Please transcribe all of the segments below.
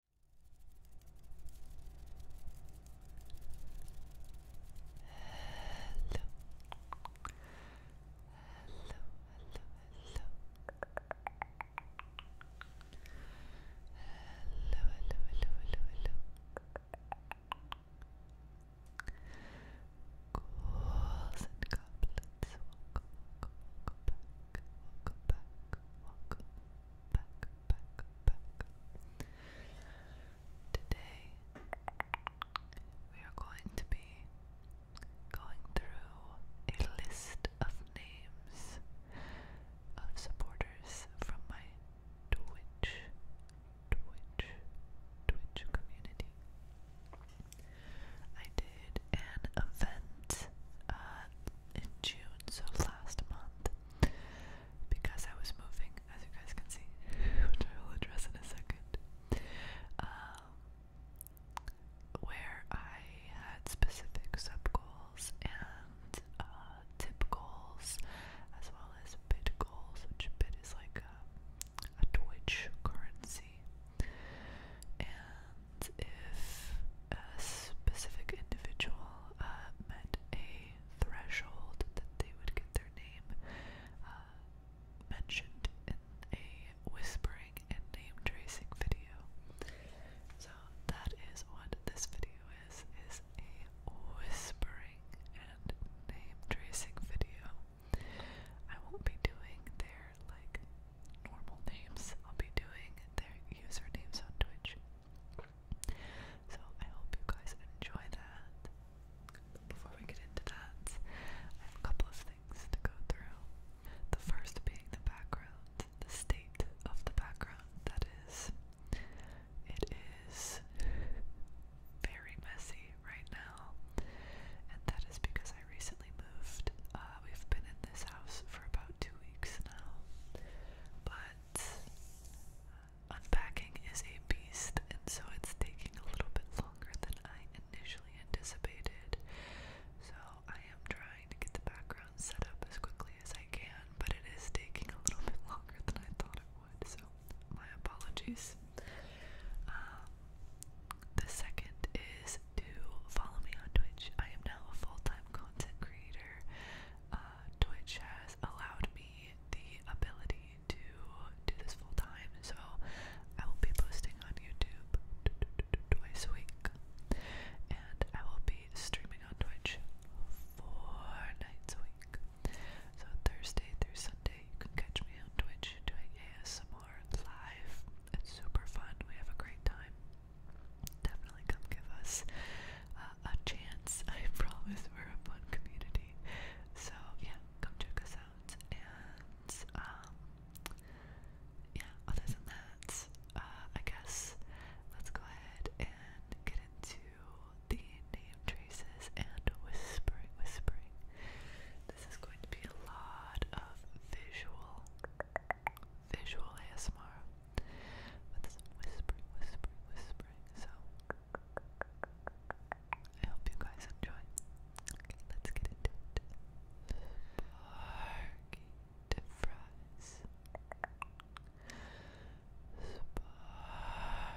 Welcome, welcome, welcome back, welcome back, welcome back, back, Today, we are going to be going through a list of names of supporters from my Twitch, Twitch, Twitch community. I did an event uh, in June, so last month, because I was moving, as you guys can see, which I will address in a second, um, where I had specific sub goals and uh, tip goals, as well as bit goals, which bit is like a, a Twitch currency. And if a specific individual uh, met a threshold that they would get their name uh, mentioned in a whispering and name tracing video. So that is what this video is, is a whispering and name tracing video. I won't be doing their like normal names. I'll be doing their usernames on Twitch. So I hope you guys enjoy that. Before we get into that, I have a couple of things to go through. The first being the background, the state of the background. That is, it is very messy right now, and that is because I recently uh, we've been in this house for about two weeks now, but uh, unpacking is a beast, and so it's taking a little bit longer than I initially anticipated. So I am trying to get the background set up as quickly as I can, but it is taking a little bit longer than I thought it would. So my apologies. Um, the second is do follow me on Twitch. I am now a full-time content creator. Uh, Twitch has allowed me the ability to do this full-time, so I will be posting on YouTube twice a week, and I will be streaming on Twitch four nights a week. So Thursday through Sunday, you can catch me on Twitch doing ASMR live. It's super fun. We have a great time definitely come give us uh, a chance. I promise we're a fun community. So yeah, come check us out. And um, yeah, other than that, uh, I guess let's go ahead and get into the name traces and whispering. Whispering. This is going to be a lot of visual visual ASMR with some whispering, whispering, whispering. So I hope you guys enjoy. Okay, let's get into it. Sparky to fries. Sparky to fries.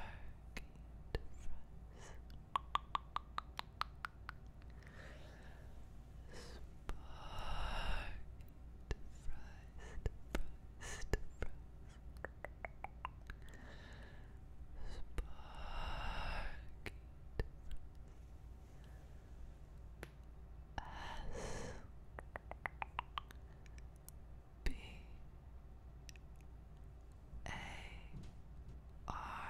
Spiked fries, fries, fries. Spiked fries. S B A R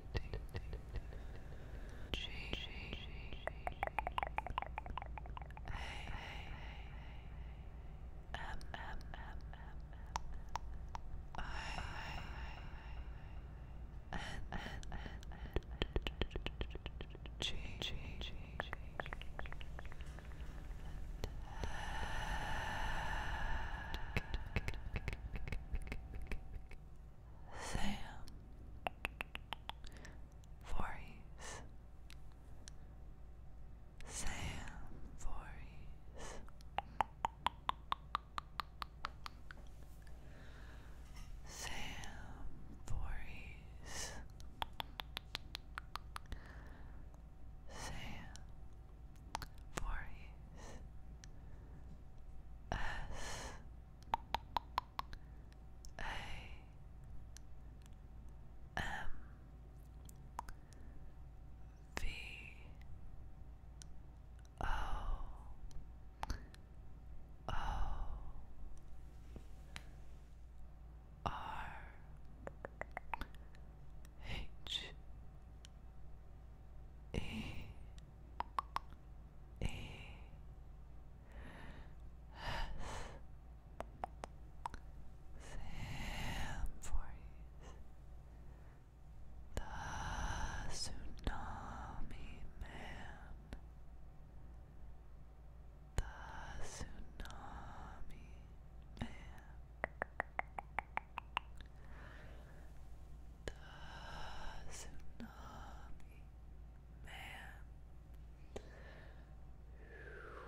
G A M M M I N N G G G Cat, cat, cat, cat, cat, cat, Sam Voorhees Sam Voorhees Sam Voorhees Sam for his S A M V O O R H E E S Sam Voorhees The Tsunami Man The Tsunami Man the tsunami man. The tsunami man.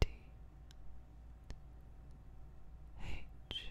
D H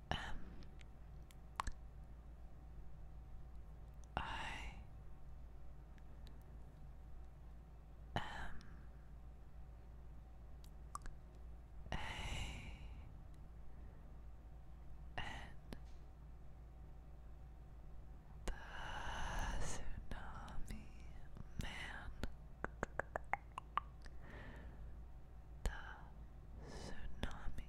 Um, I am a and the tsunami man the tsunami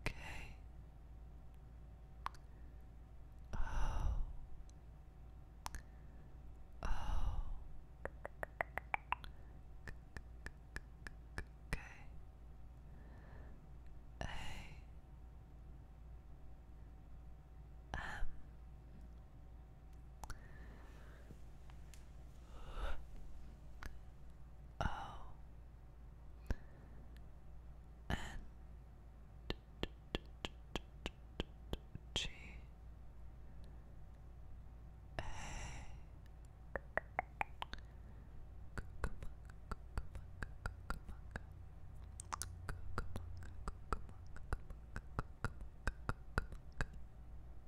Okay. Oh. Oh. Okay. A. M. O N G A G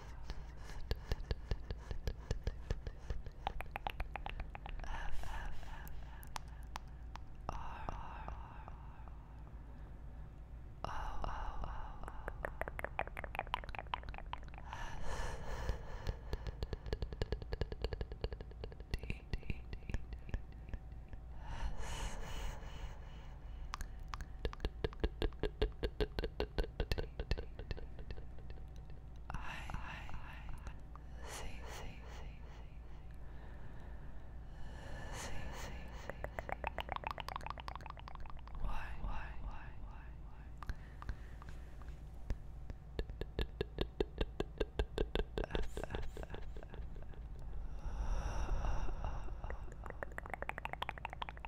S F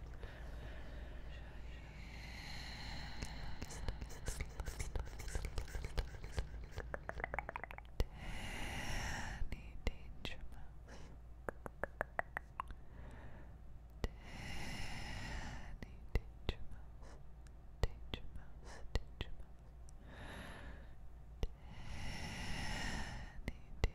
Danny Danger Mouse. Danny Danger Mouse. Danger Mouse. Danger Mouse. Danny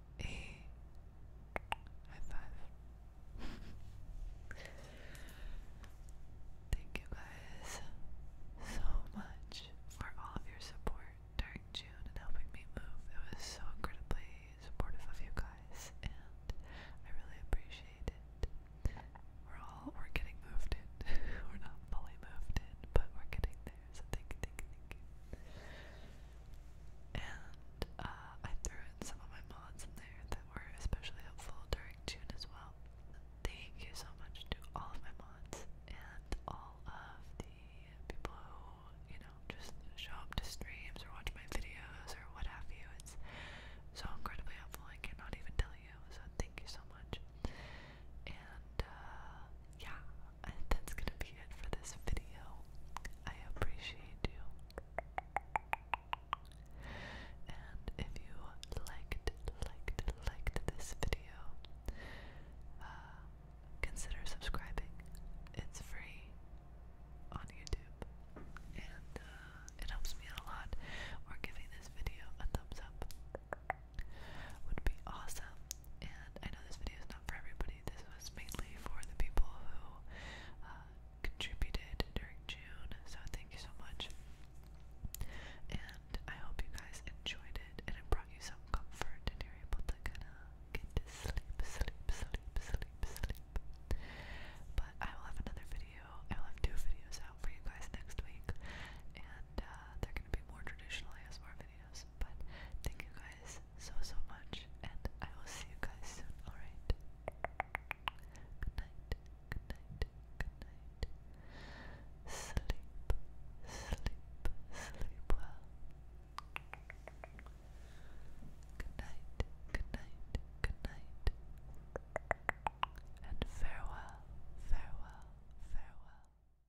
a high five. Thank you guys so much for all of your support during June and helping me move. It was so incredibly supportive of you guys, and I really appreciate it. We're all we're getting moved in. we're not fully moved in, but we're getting so thank you, thank thank And uh, I threw in some of my mods in there that were especially helpful during June as well. Thank you so much to all of my mods and all of the people who, you know, just show up to streams or watch my videos or what have you. It's so incredibly helpful, I cannot even tell you. So thank you so much. And uh, yeah, that's gonna be it for this video. I appreciate you. And if you liked, liked, liked this video, uh, consider subscribing. It's free on YouTube, and uh, it helps me out a lot. Or giving this video a thumbs up would be awesome. And I know this video is not for everybody. This was mainly for the people who uh, contributed during June. So thank you so much. And I hope you guys enjoyed it and it brought you some comfort and you're able to kind of get to sleep, sleep, sleep, sleep, sleep. But I will have another video. I will have two videos out for you guys next week. And uh, they're going to be more traditional ASMR but thank you guys so so much, and I will see you guys soon. All right. Good night. Good night. Good night. Sleep. Sleep. Sleep well. Good night. Good night. Good night. And farewell. Farewell. Farewell.